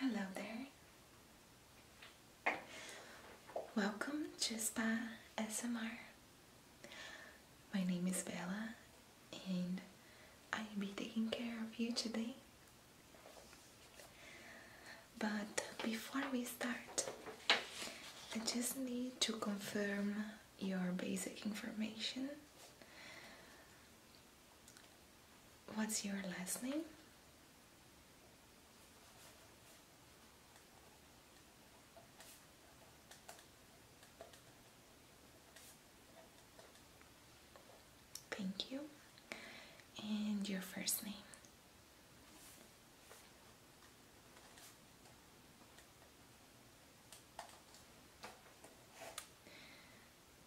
Hello there. Welcome to Spa SMR. My name is Bella and I'll be taking care of you today. But before we start, I just need to confirm your basic information. What's your last name? Thank you. And your first name.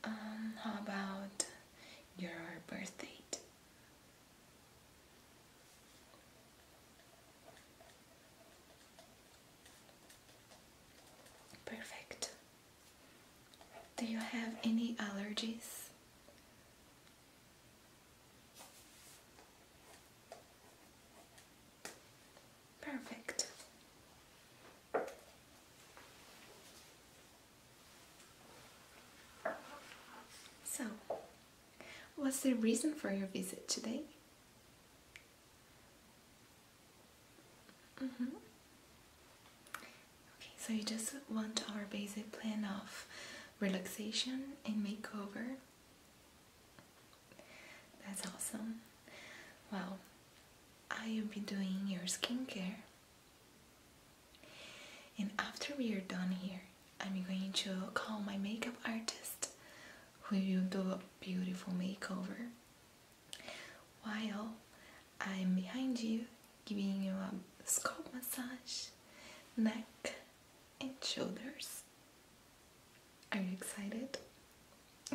Um, how about your birth Perfect. Do you have any allergies? Perfect. So, what's the reason for your visit today? Mm-hmm. Okay, so you just want our basic plan of relaxation and makeover. That's awesome. Well, I'll be doing your skincare. And after we are done here, I'm going to call my makeup artist who will do a beautiful makeover while I'm behind you giving you a scalp massage, neck and shoulders. Are you excited?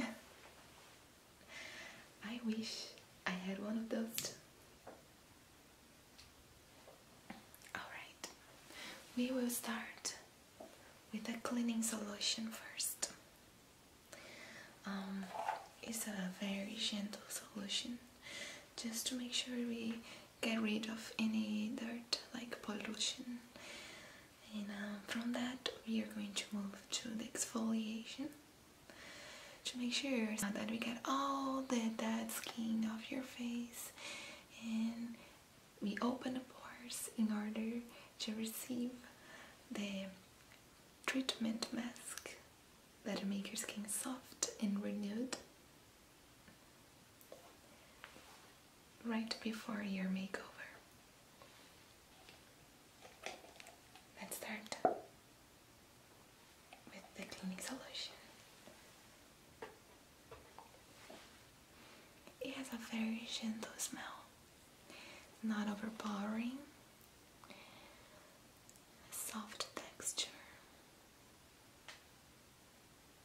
I wish I had one of those. Alright, we will start with a cleaning solution first. Um, it's a very gentle solution just to make sure we get rid of any dirt like pollution and um, from that we are going to move to the exfoliation to make sure that we get all the dead skin off your face and we open the pores in order to receive the treatment mask that make your skin soft and renewed right before your makeover. Let's start with the cleaning solution. It has a very gentle smell, not overpowering, soft texture.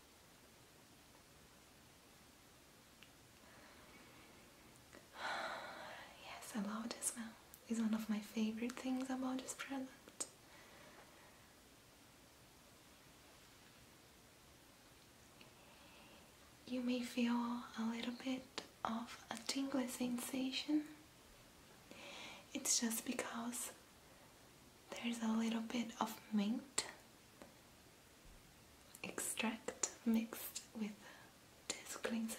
Yes, I love the smell. It's one of my favorite things about this product. You may feel a little bit of a tingling sensation. It's just because there's a little bit of mint extract mixed with this cleanser.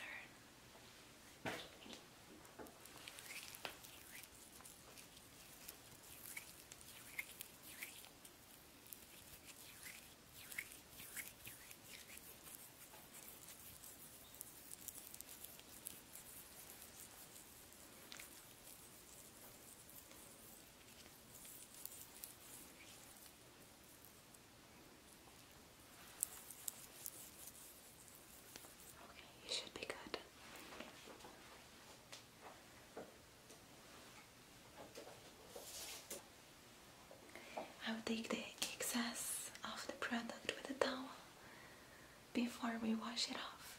Okay, you should be good. I will take the excess of the product with a towel before we wash it off.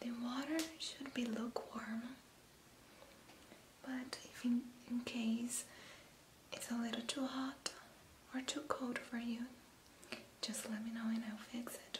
the water should be lukewarm, but if in case it's a little too hot or too cold for you, just let me know and I'll fix it.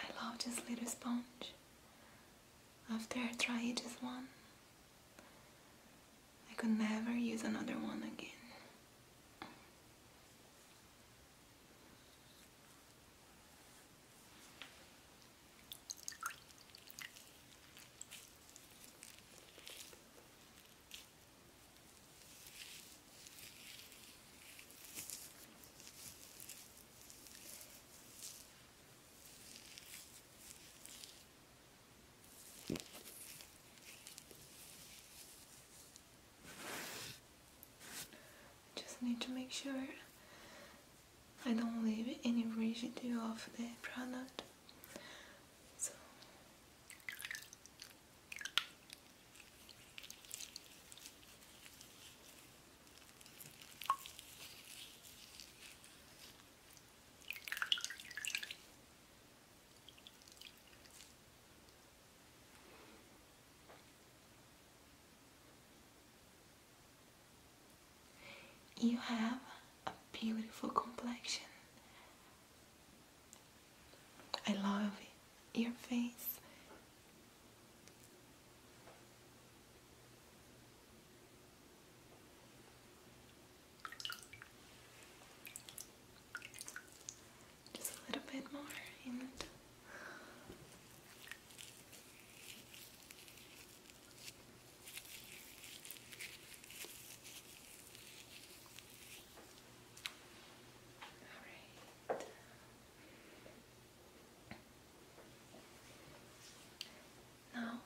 I love this little sponge. After I tried just one, I could never use another one again. Just need to make sure I don't leave any residue of the product. You have a beautiful complexion. I love your face. Just a little bit more in All right. Now,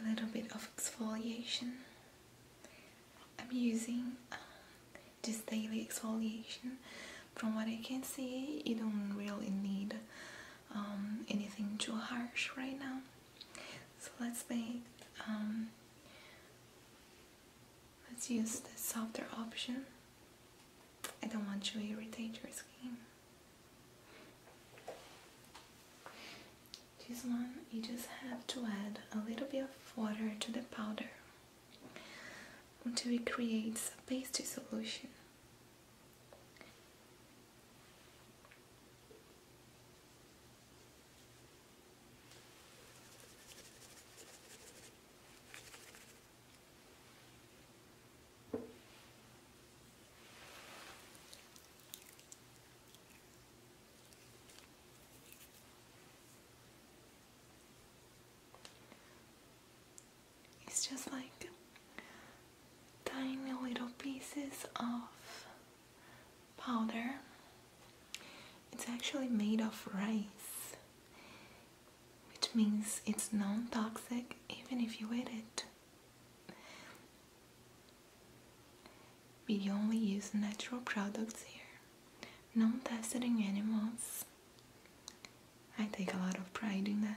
a little bit of exfoliation. I'm using um, this daily exfoliation. From what I can see, you don't really need um, anything too harsh right now. So let's make, um, let's use the softer option. I don't want to irritate your skin. This one you just have to add a little bit of water to the powder until it creates a pasty solution. It's just like tiny little pieces of powder. It's actually made of rice which means it's non-toxic even if you eat it. We only use natural products here, non testing in animals. I take a lot of pride in that.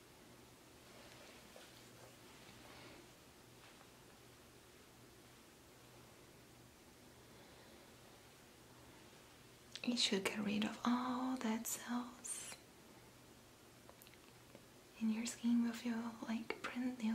It should get rid of all that cells and your skin will feel like brand new.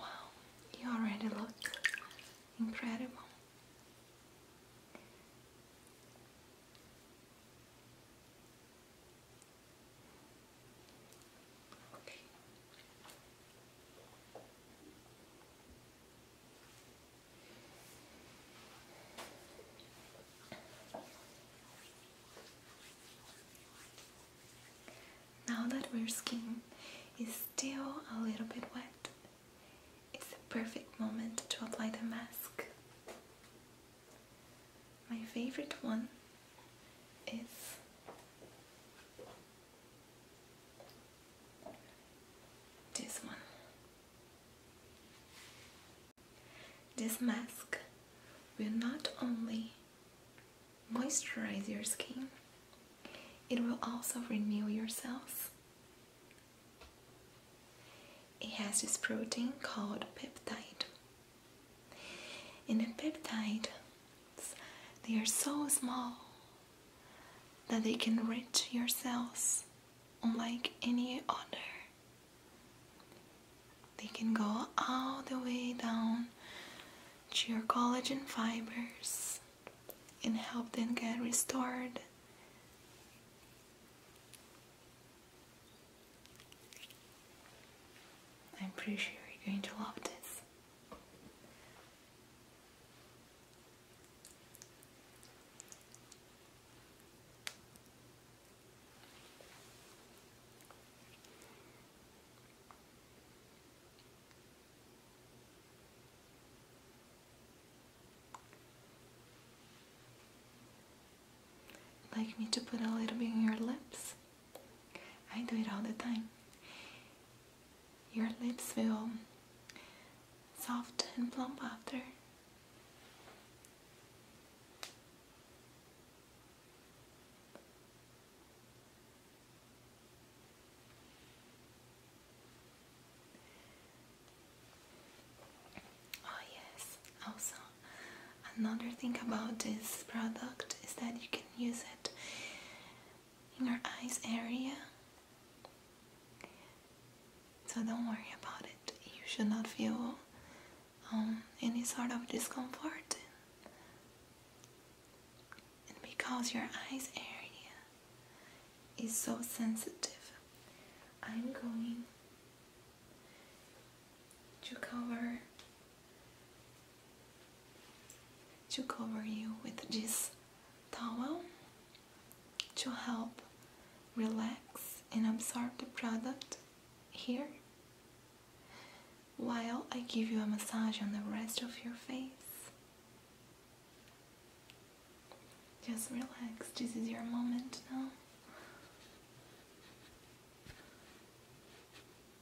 Wow, you already look incredible. Okay. Now that our skin is still a little bit wet, it's the perfect moment to apply the mask. My favorite one is this one. This mask will not only moisturize your skin, it will also renew your cells. It has this protein called peptide. And the peptides, they are so small that they can reach your cells unlike any other. They can go all the way down to your collagen fibers and help them get restored. I'm pretty sure you're going to love this. Like me to put a little bit on your lips? I do it all the time your lips feel soft and plump after. Oh yes, also another thing about this product is that you can use it in your eyes area. So don't worry about it. You should not feel um, any sort of discomfort. And because your eyes area is so sensitive, I'm going to cover to cover you with this towel to help relax and absorb the product here while I give you a massage on the rest of your face. Just relax, this is your moment now.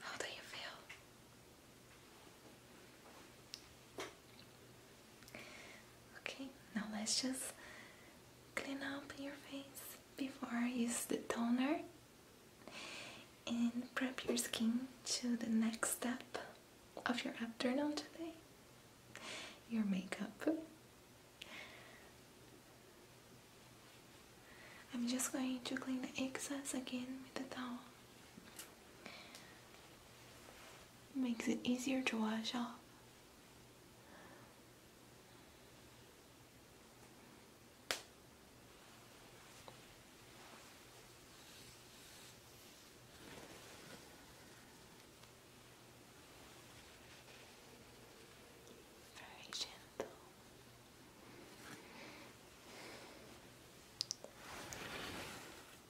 How do you feel? Okay, now let's just clean up your face before I use the toner and prep your skin to the next step of your afternoon today your makeup. I'm just going to clean the excess again with the towel makes it easier to wash off. Very gentle.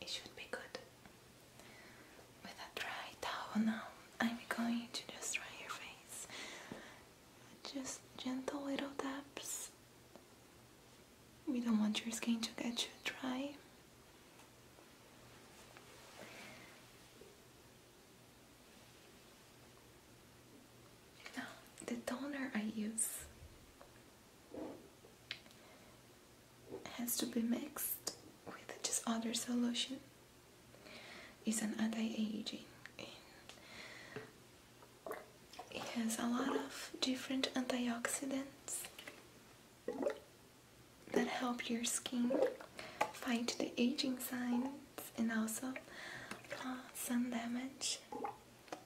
It should be good. With a dry towel now, I'm going to just dry your face. Just gentle little taps. We don't want your skin to get too dry the toner I use has to be mixed with just other solution. It's an anti-aging. It has a lot of different antioxidants that help your skin fight the aging signs and also uh, sun damage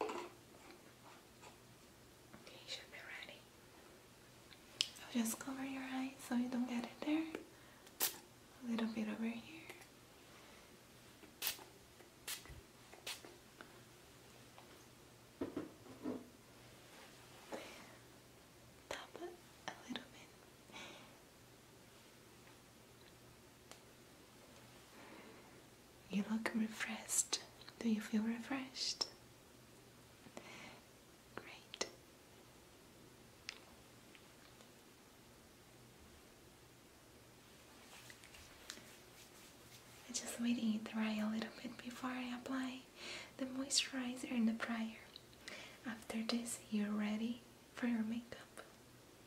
I'll just cover your eyes so you don't get it there. A little bit over here. Tap it a little bit. You look refreshed. Do you feel refreshed? Great. I just waiting it dry a little bit before I apply the moisturizer and the primer. After this, you're ready for your makeup.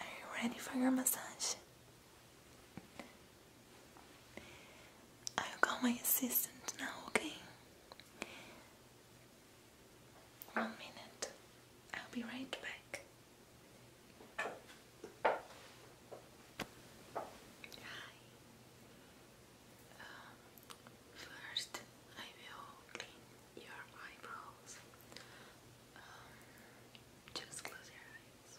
Are you ready for your massage? I'll call my assistant now, okay? One minute. I'll be right back. Hi. Um, first, I will clean your eyebrows. Um, just close your eyes.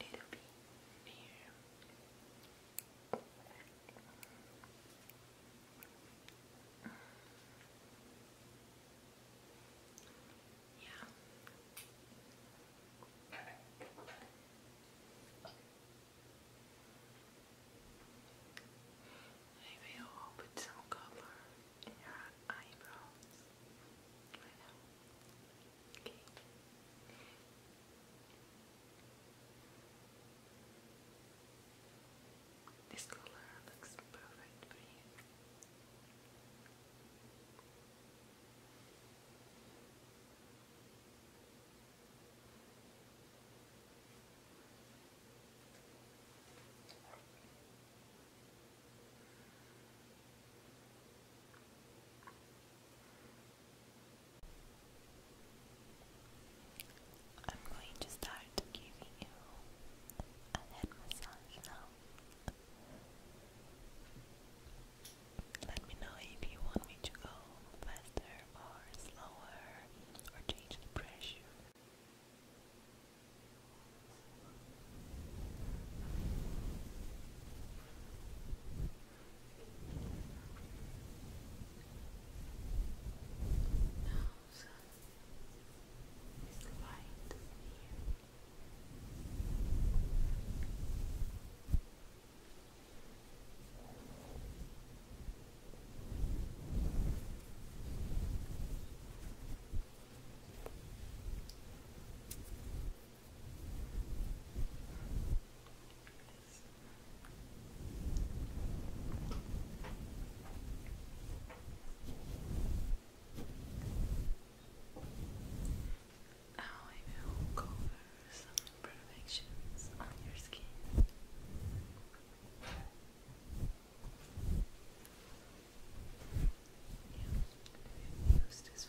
Yeah. It'll be near. Yeah. I will put some color in your eyebrows This color looks perfect for you. I'm going to start giving you a head massage now. Let me know if you want me to go faster or slower or change the pressure. Now, it's light here. Now oh, I will cover some imperfections on your skin. Yeah, use this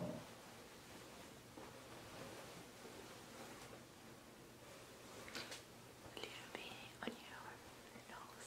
A little bit on your nose.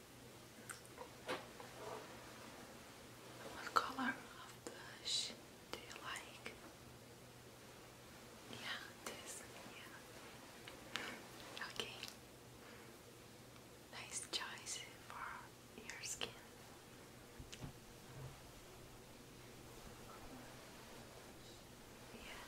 What color of blush do you like? Yeah, this, yeah. Okay. Nice choice for your skin. Yeah.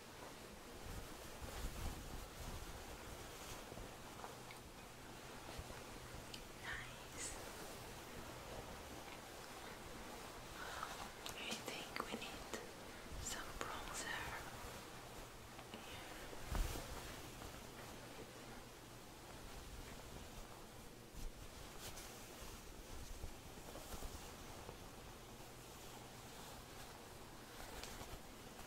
Nice. I think we need some bronzer.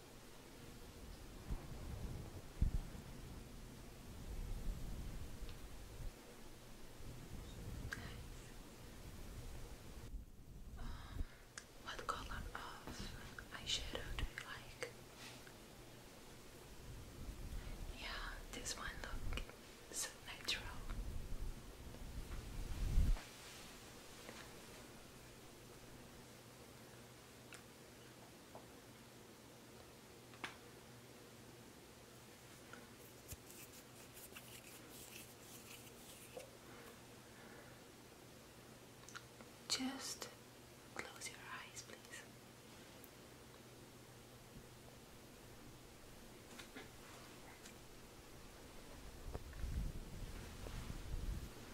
Nice. what color of eyeshadow do you like? Yeah, this one look so natural. Just close your eyes, please.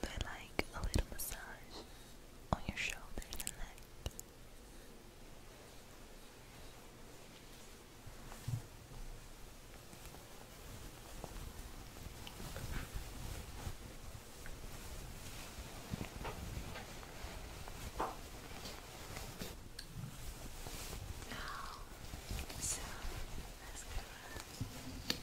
But like a little massage on your shoulders and neck. Now, so let's go. Yes, open your eyes.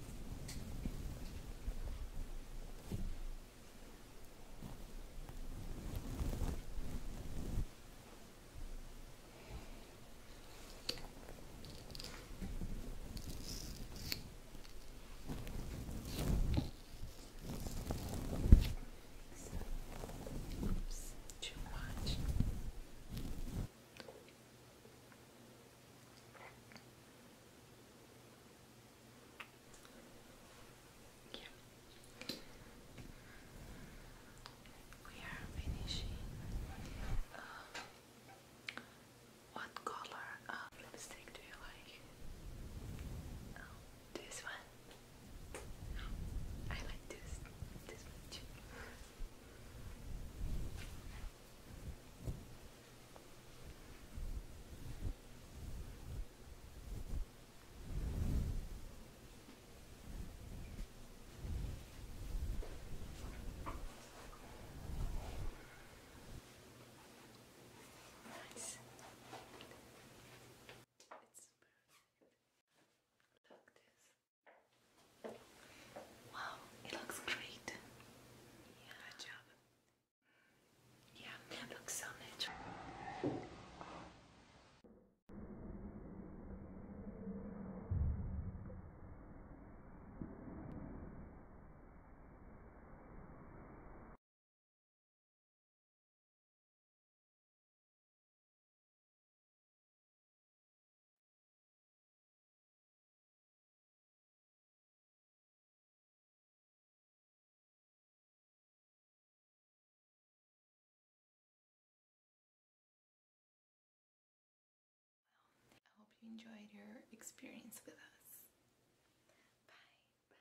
Oops, too much. Yeah. We are finishing what uh, color lipstick do you like? Oh, this one? I like this this one too. Nice. It's smooth. Look this. Wow, it looks great. Yeah, good job. Yeah, it looks so natural. I hope you enjoyed your experience with us. Bye. Bye.